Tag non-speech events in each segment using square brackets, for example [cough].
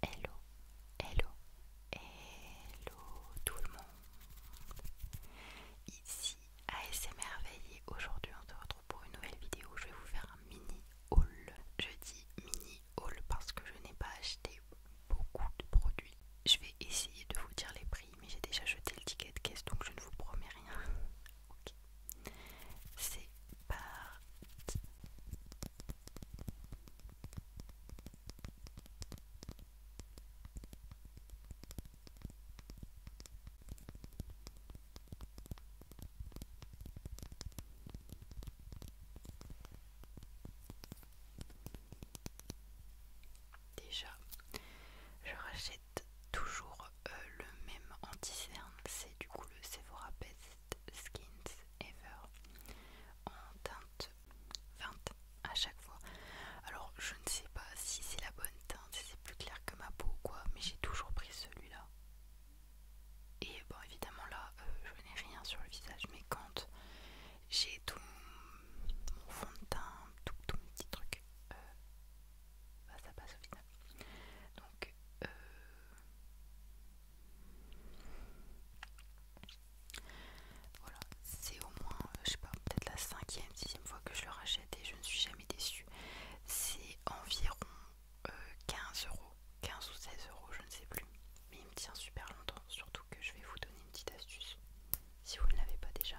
Hello, hello, hello tout le monde. Ici et Aujourd'hui, on se retrouve pour une nouvelle vidéo. Je vais vous faire un mini haul. Je dis mini haul parce que je n'ai pas acheté beaucoup de produits. Je vais essayer de vous dire les prix, mais j'ai déjà jeté le ticket de caisse donc je ne vous promets rien. C'est parti. Déjà, je rachète toujours euh, le même anti-cerne, c'est du coup le Sephora skins ever en teinte 20 à chaque fois. Alors je ne sais pas si c'est la bonne teinte, si c'est plus clair que ma peau ou quoi, mais j'ai toujours pris celui-là. Et bon évidemment là euh, je n'ai rien sur le visage, mais quand j'ai tout mon fond de teint, tout, mes petits trucs euh, bah, ça passe au donc, euh, voilà, c'est au moins, euh, je sais pas, peut-être la cinquième, sixième fois que je le rachète et je ne suis jamais déçue. C'est environ 15 euh, euros, 15 ou 16 euros, je ne sais plus. Mais il me tient super longtemps, surtout que je vais vous donner une petite astuce si vous ne l'avez pas déjà.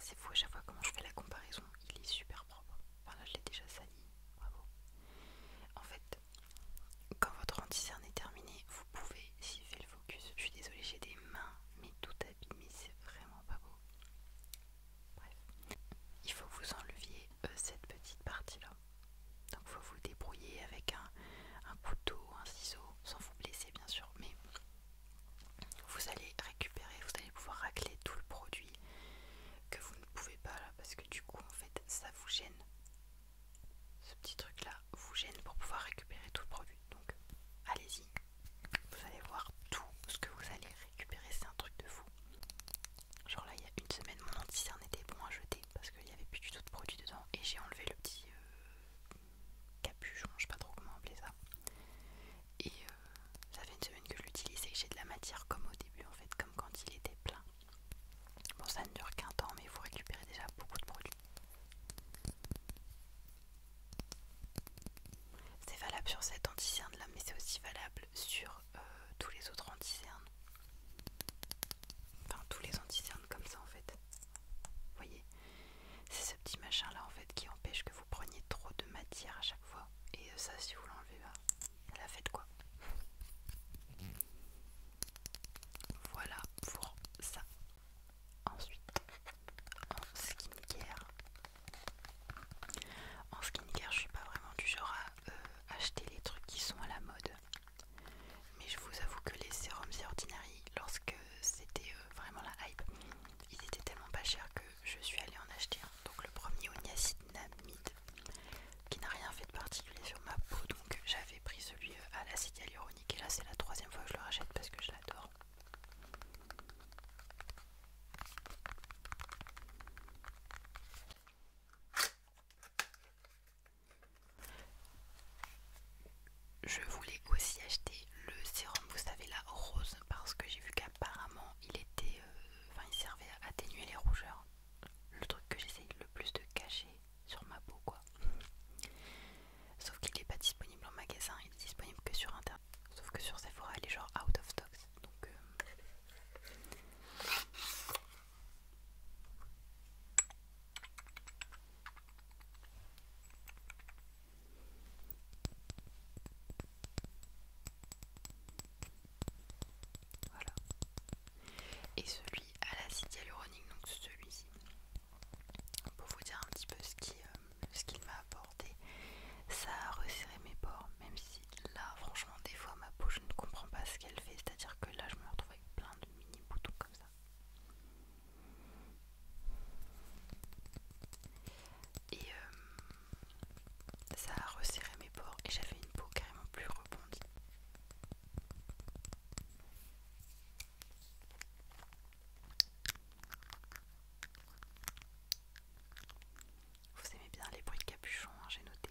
C'est fou à chaque fois comment je fais la comparaison, il est super propre. Enfin là je l'ai déjà sali, bravo. En fait, quand votre anti-cerne est terminé, vous pouvez fait le focus. Je suis désolée, j'ai des mains mais tout mais c'est vraiment pas beau. Bref, il faut vous enleviez euh, cette petite partie là. Donc il faut vous débrouiller avec un, un couteau, un ciseau, sans vous blesser bien sûr, mais vous allez récupérer, vous allez pouvoir racler tout le produit que vous ne pouvez pas là parce que du coup en fait ça vous gêne. Ce petit truc là vous gêne pour pouvoir récupérer tout le produit. Donc allez-y, vous allez voir tout ce que vous allez récupérer, c'est un truc de fou. Genre là il y a une semaine mon anti-cerne était bon à jeter parce qu'il n'y avait plus du tout de produit dedans et j'ai enlevé le petit euh, capuchon, je sais pas trop comment appeler ça. Et euh, ça fait une semaine que je l'utilise et j'ai de la matière comme au début en fait, comme quand il était plein. Bon, ça ne dure qu'un temps, mais vous récupérez déjà beaucoup de produits. C'est valable sur cette anticerne là, mais c'est aussi valable sur euh, tous les autres cernes Enfin, tous les cernes comme ça en fait. Vous voyez c'est ce petit machin là en fait qui empêche que vous preniez trop de matière à chaque fois. Et euh, ça, si vous l'enlevez, là bah, la faites quoi. Voilà pour ça. Ensuite, en skincare. En skincare, je suis pas vraiment du genre à euh, acheter les trucs qui sont à la mode. Mais je vous avoue que les sérums ordinary, lorsque c'était euh, vraiment la hype, il était tellement pas cher que je suis allée en acheter un. Donc le premier niacinamide qui n'a rien fait de particulier sur ma peau. Donc j'avais pris celui euh, à l'acide hyaluronique et là c'est la troisième fois que je le rachète parce que je l'adore je voulais aussi acheter le sérum, vous savez, la rose, parce que j'ai vu qu'apparemment il était, euh, enfin, il servait à atténuer les rougeurs. Le truc que j'essaye le plus de cacher sur ma peau, quoi. Sauf qu'il n'est pas disponible en magasin, il est disponible que sur internet. Sauf que sur Sephora, il est genre out of stock. Donc, euh, voilà. Et celui à l'acide hyaluronique, donc celui-ci, pour vous dire un petit peu euh, ce qu'il m'a apporté, ça a resserré mes pores, même si là, franchement, des fois, ma peau, je ne comprends pas ce qu'elle fait, c'est-à-dire que là, je me retrouve avec plein de mini boutons comme ça. Et euh, ça a resserré mes pores et j'avais une peau carrément plus rebondie. Vous aimez bien les bruits de capuchon, hein, j'ai noté.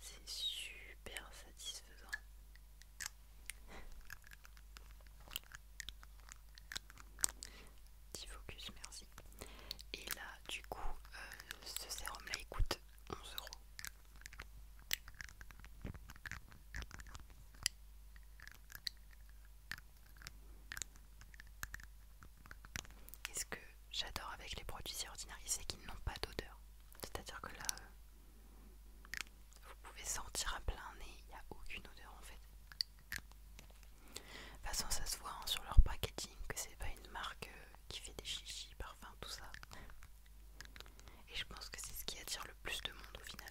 C'est super satisfaisant. Petit focus, merci. Et là, du coup, euh, ce sérum là il coûte 11 euros. Et ce que j'adore avec les produits si c'est qu'ils n'ont pas d'odeur. C'est-à-dire que là, euh, vous pouvez sentir à plein nez, il n'y a aucune odeur en fait. De toute façon, ça se voit hein, sur leur packaging que c'est pas une marque euh, qui fait des chichis, parfums, tout ça. Et je pense que c'est ce qui attire le plus de monde au final.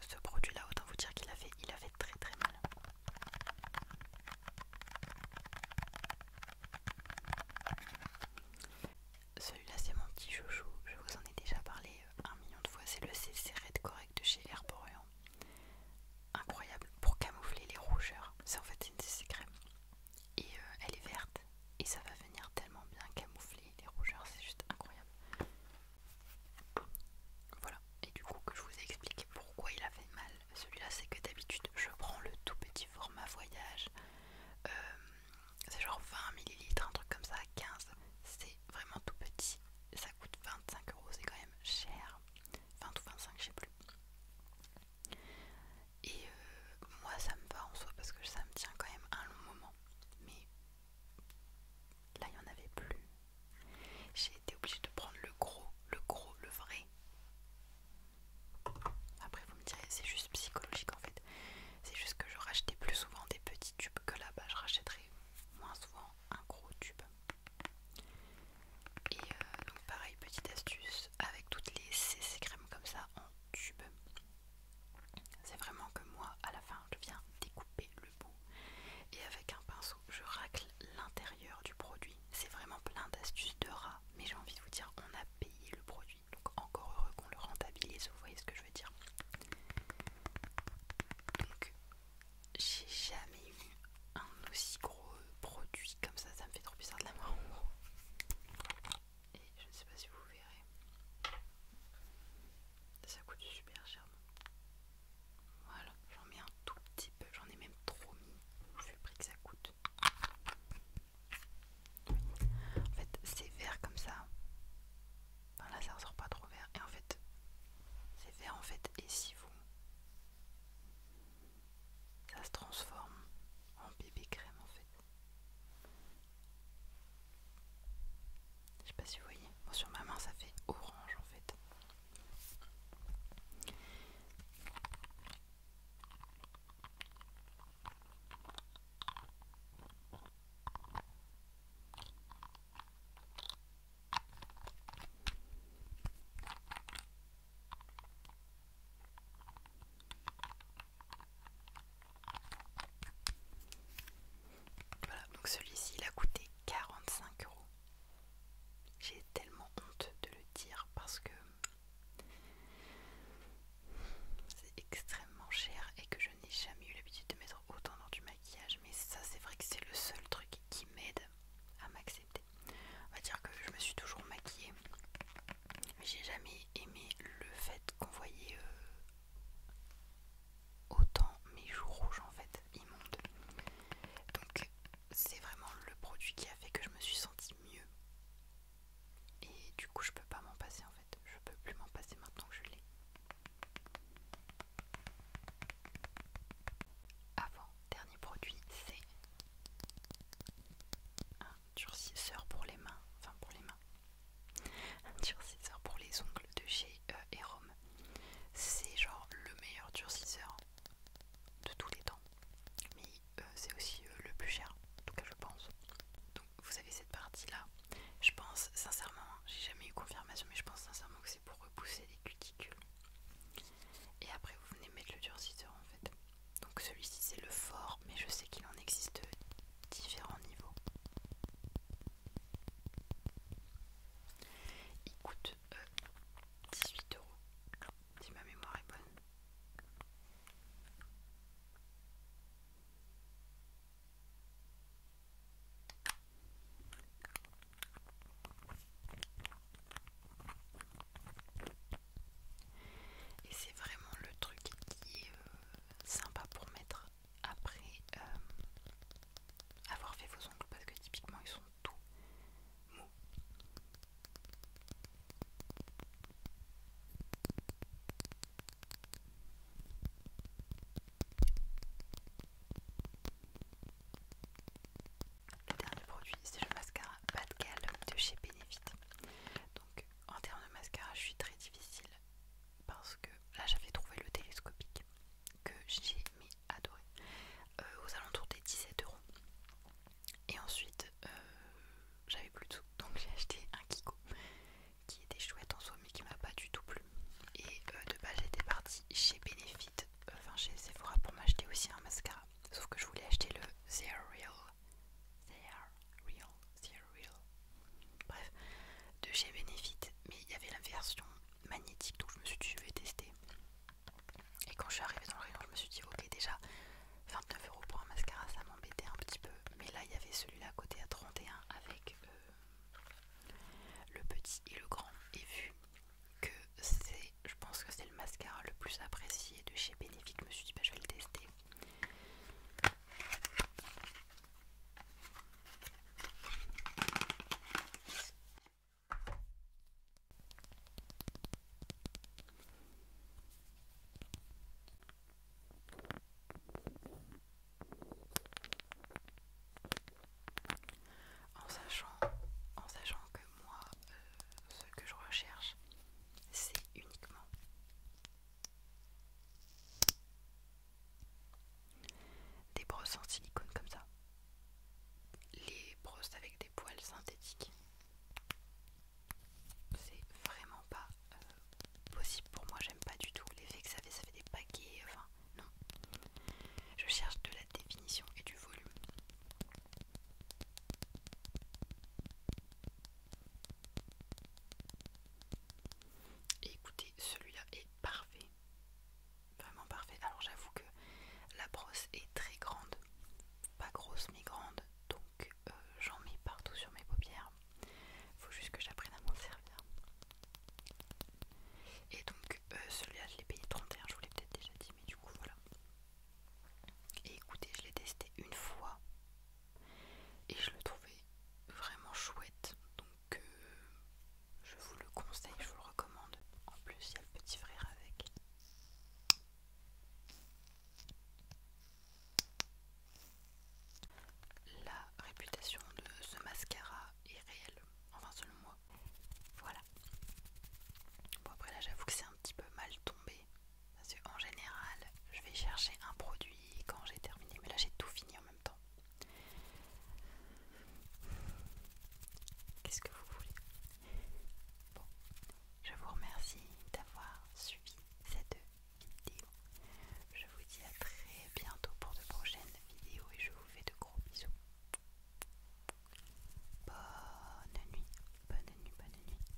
ce produit là autant vous dire qu'il a il très très mal celui-là c'est mon petit chouchou je vous en ai déjà parlé euh, un million de fois c'est le CC Red Correct de chez Herborian incroyable pour camoufler les rougeurs c'est en fait une CC crème et euh, elle est verte et ça va venir tellement bien camoufler les rougeurs c'est juste incroyable voilà, et du coup que je vous ai expliqué pourquoi il a fait mal. Celui-là c'est que d'habitude je prends le tout petit format voyage. Euh, c'est genre 20 ml, un truc comme ça, 15. C'est vraiment tout petit. Ça coûte 25 euros, c'est quand même cher. 20 ou 25, je sais plus. Et euh, moi ça me va en soi parce que ça me tient quand même un long moment. Mais Là, il n'y en avait plus. J'ai été obligée de prendre le gros, le gros, le vrai. Après, vous me direz, c'est juste psychologique en fait. C'est juste que je rachetais plus souvent des petits tubes que là-bas. Je rachèterais moins souvent un gros tube. Et euh, donc, pareil, petite astuce avec toutes les CC crèmes comme ça en tube. C'est vraiment que moi, à la fin, je viens découper le et avec un pinceau je racle l'intérieur du produit. C'est vraiment plein d'astuces de rat, mais j'ai envie de vous dire on a payé le produit, donc encore heureux qu'on le rentabilise, vous voyez ce que je veux dire. Donc j'ai jamais eu un aussi gros produit comme ça, ça me fait trop bizarre de la voir Et je ne sais pas si vous verrez. Ça coûte super cher. Voilà, j'en mets un tout petit peu, j'en ai même trop mis, je le que ça coûte. En fait, c'est vert comme ça. Enfin, là, ça ressort pas trop vert. Et en fait, c'est vert en fait. Et si vous. Ça se transforme en bébé crème en fait. Je sais pas si vous voyez. sur ma main, ça fait orange en fait. Voilà, donc celui-ci il a coûté 45 euros. J'ai tellement honte de le dire parce que c'est extrêmement cher et que je n'ai jamais eu l'habitude de mettre autant dans du maquillage. Mais ça, c'est vrai que c'est le seul truc qui m'aide à m'accepter. On va dire que je me suis toujours maquillée, mais j'ai jamais aimé le fait qu'on voyait euh, autant mes joues rouges en fait, immondes. Donc c'est vraiment le produit qui a fait que je me suis sentie mieux. Et du coup je peux pas m'en passer en fait. Je peux plus m'en passer maintenant que je l'ai. Avant, dernier produit, c'est un durcisseur pour les mains. Enfin pour les mains. Un durcisseur pour les ongles de chez euh, C'est genre le meilleur durcisseur de tous les temps. Mais euh, c'est aussi euh, le plus cher, en tout cas je pense. Donc vous avez cette partie là. Je pense sincèrement, hein, j'ai jamais eu confirmation, mais je pense sincèrement que c'est pour repousser les cuticules. Et après vous venez mettre le durcisseur en fait. Donc celui-ci c'est le fort, mais je sais qu'il en existe différents niveaux. Il coûte 18 euh, euros, si ma mémoire est bonne. Et c'est vraiment le truc qui est euh, sympa pour mettre après euh, avoir fait vos ongles parce que typiquement ils sont tout mous. Le dernier produit c'est le mascara Pas de de chez Benefit. Donc en termes de mascara je suis très difficile parce que là j'avais trouvé le télescopique que j'ai mais adoré euh, aux alentours des 17 euros et ensuite euh, j'avais plus de sous [laughs] donc j'ai acheté un Kiko qui était chouette en soi mais qui m'a pas du tout plu et euh, de base j'étais partie chez Benefit enfin chez Sephora pour m'acheter aussi un mascara sauf que je voulais acheter le Zerial real Real, Bref, de chez Benefit, mais il y avait la version magnétique, donc je me suis dit, je vais tester. Et quand je suis arrivée dans le rayon, je me suis dit, ok, déjà 29 euros pour un mascara, ça m'embêtait un petit peu. Mais là, il y avait celui-là à côté à 31 avec euh, le petit et le grand. Et vu que c'est, je pense que c'est le mascara le plus apprécié de chez Benefit, je me suis dit, bah, je vais le tester. En sachant, en sachant que moi, euh, ce que je recherche, c'est uniquement des brosses en silicone comme ça. Les brosses avec des poils synthétiques. C'est vraiment pas euh, possible pour moi, j'aime pas du tout l'effet que ça fait, ça fait des paquets, enfin non. Je cherche de la définition et du volume. Et écoutez, celui-là est parfait. Vraiment parfait. Alors j'avoue que la brosse est très grande. Pas grosse mais grande. Donc euh, j'en mets partout sur mes paupières. Faut juste que j'apprenne à m'en servir. Et donc euh, celui-là je l'ai payé 31, je vous l'ai peut-être déjà dit, mais du coup voilà. Et écoutez, je l'ai testé une fois et je le trouvais vraiment chouette donc euh, je vous le conseille, je vous le recommande. En plus, il y a le petit frère avec. La réputation de ce mascara est réelle, enfin selon moi. Voilà. Bon après là j'avoue que c'est un petit peu mal tombé, parce qu'en général, je vais chercher un produit quand j'ai terminé, mais là j'ai tout fini en même temps. Qu'est-ce que vous voulez Bon, je vous remercie d'avoir suivi cette vidéo. Je vous dis à très bientôt pour de prochaines vidéos et je vous fais de gros bisous. Bonne nuit, bonne nuit, bonne nuit, bonne nuit.